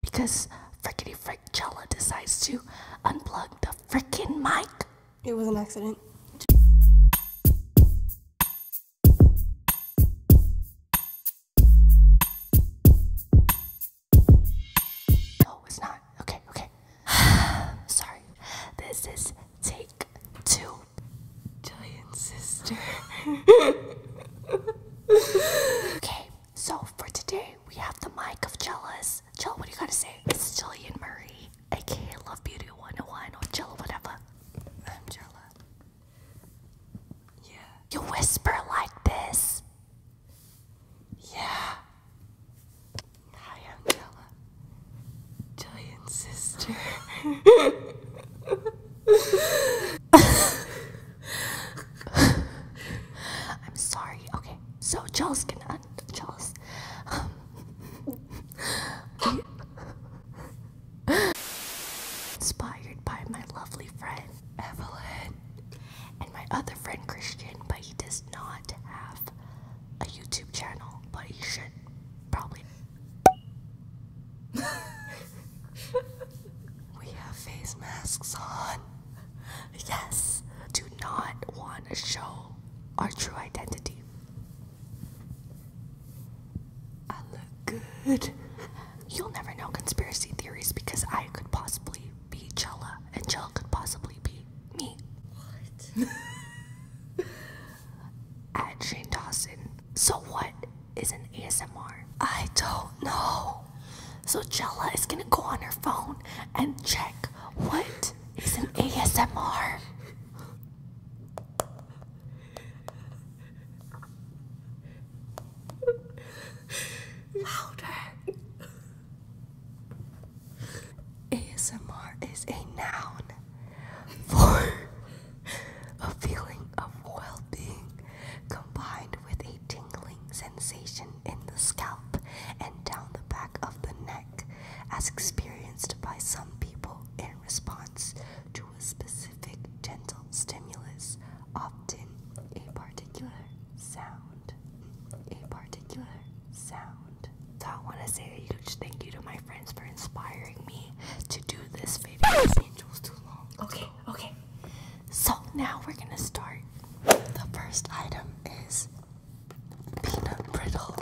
because Frickety Frick Jella decides to unplug the frickin' mic. It was an accident. No, it's not. Okay, okay. Sorry. This is take two. Giant sister. okay, so for today we have the mic of Jealous. Jill, what do you gotta say? It's Jillian Murray, aka Love Beauty 101 or Jill, whatever. I'm jealous. Yeah. You whisper like this. Yeah. I am jealous. Jillian's sister. I'm sorry. Okay, so Charles cannot. Charles. Inspired by my lovely friend Evelyn and my other friend Christian, but he does not have a YouTube channel, but he should probably. we have face masks on. Yes, do not want to show our true identity. I look good. You'll never know conspiracy theories because I could possibly be Jella and Jella could possibly be me. What? At Shane Dawson. So what is an ASMR? I don't know. So Jella is gonna go on her phone and check what is an ASMR. Louder. ASMR is a noun for a feeling of well being combined with a tingling sensation in the scalp and down the back of the neck, as experienced by some people in response to a specific gentle stimulus, often a particular sound. A particular sound. So I want to say a huge thank you to my friends for inspiring me to do this video. Angel's too long. Okay. Okay, So now we're gonna start. The first item is peanut brittle.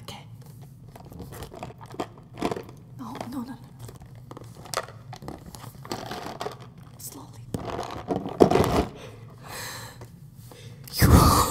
Okay. No, no, no, no. Slowly.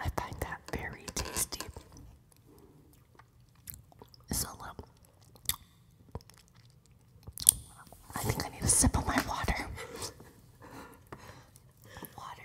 I find that very tasty. So um, I think I need a sip of my water. water.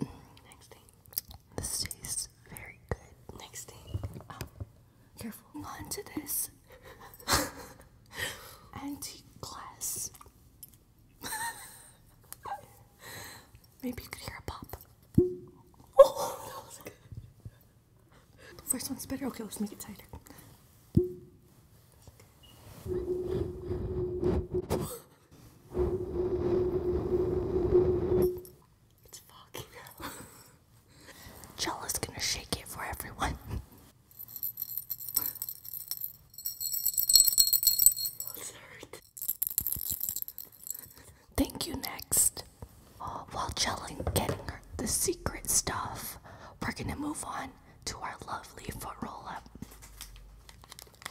Next thing. This tastes very good. Next thing. Oh, careful. On to this antique glass. Maybe you could hear a pop. Oh, that was good. The first one's better. Okay, let's make it tighter. It's foggy now. gonna shake it for everyone. Thank you, next. Oh, while Jella's getting her the secret stuff, we're gonna move on to our lovely foot roll up.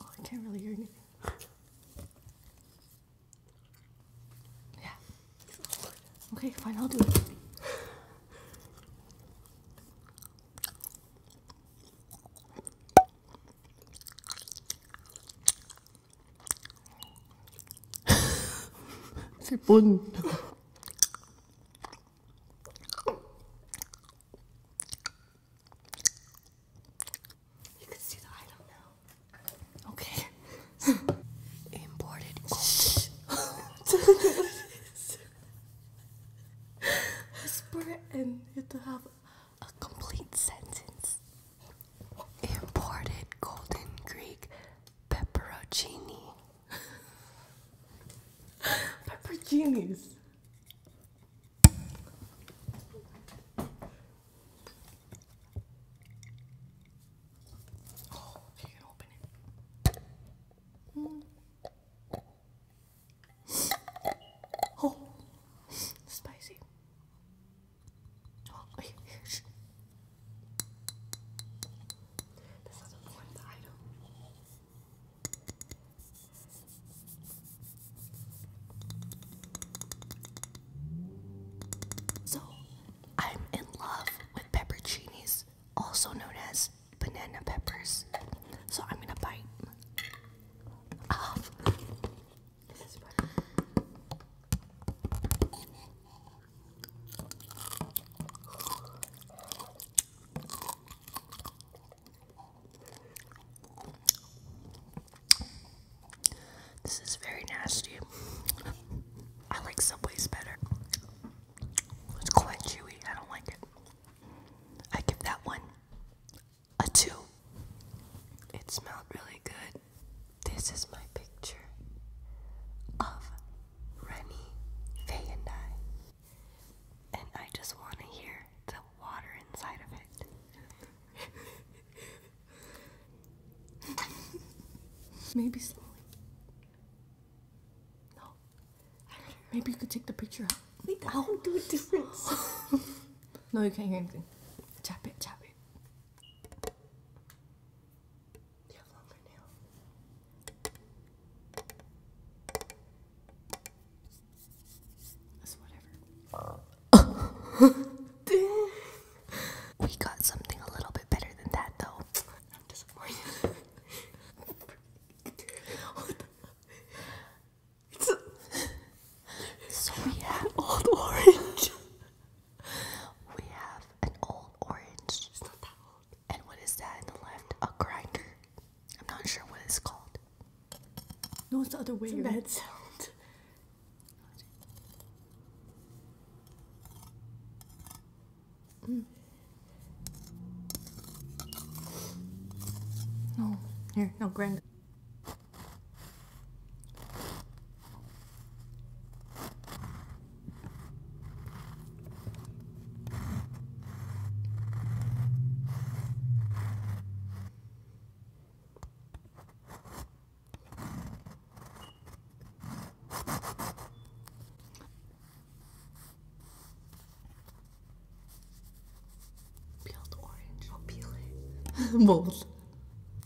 Oh, I can't really hear anything. yeah. Okay, fine, I'll do it. C'est bon. You can see the item now. Okay. Imported. have a complete sentence. Imported golden Greek pepperoncini. Pepper genius. Oh, you open it. Mm. Oh, spicy. Oh, wait, So, I'm in love with pepperoncinis, also known as banana peppers. So, I'm gonna bite ah. This is very nasty. I like Subway's better. It's quite chewy. I don't like it. I give that one a two. It smelled really good. This is my picture of Rennie, Faye, and I. And I just want to hear the water inside of it. Maybe slowly. No. Maybe you could take the picture out. Wait, i will do a difference. no, you can't hear anything. Chop it, chop it. we got something a little bit better than that, though. it's a so we had old orange we have an old orange. And what is that in the left? A grinder. I'm not sure what it's called. No, it's the other way. It's a bad sound. Mm. No, here, no grinder. Peeled orange. I'll peel it. Both.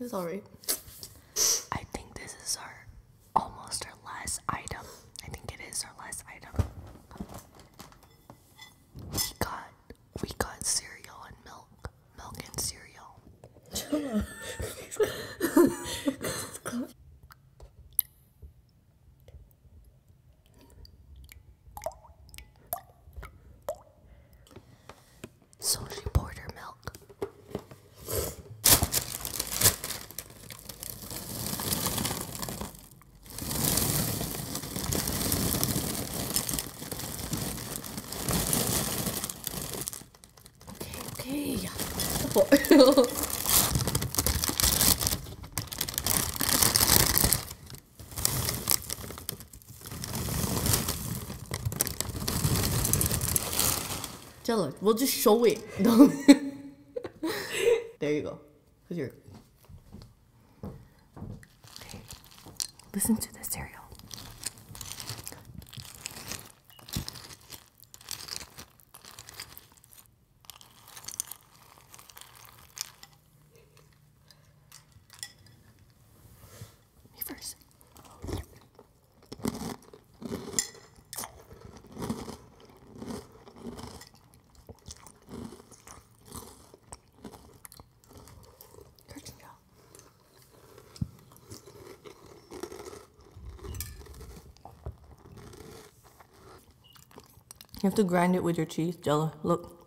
It's alright. I think this is our almost our last item. I think it is our last item. We got we got cereal and milk, milk and cereal. So she poured her milk. Okay, okay. Jella, we'll just show it. there you go. Cause you're. Listen to this cereal me first. You have to grind it with your teeth, Jello. Look.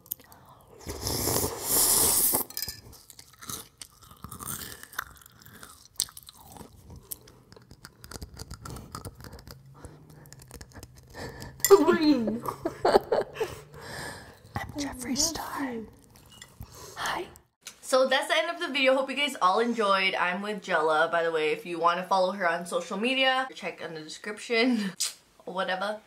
Green. I'm Jeffrey Star. Hi. So that's the end of the video. Hope you guys all enjoyed. I'm with Jella, by the way. If you want to follow her on social media, check in the description. Whatever.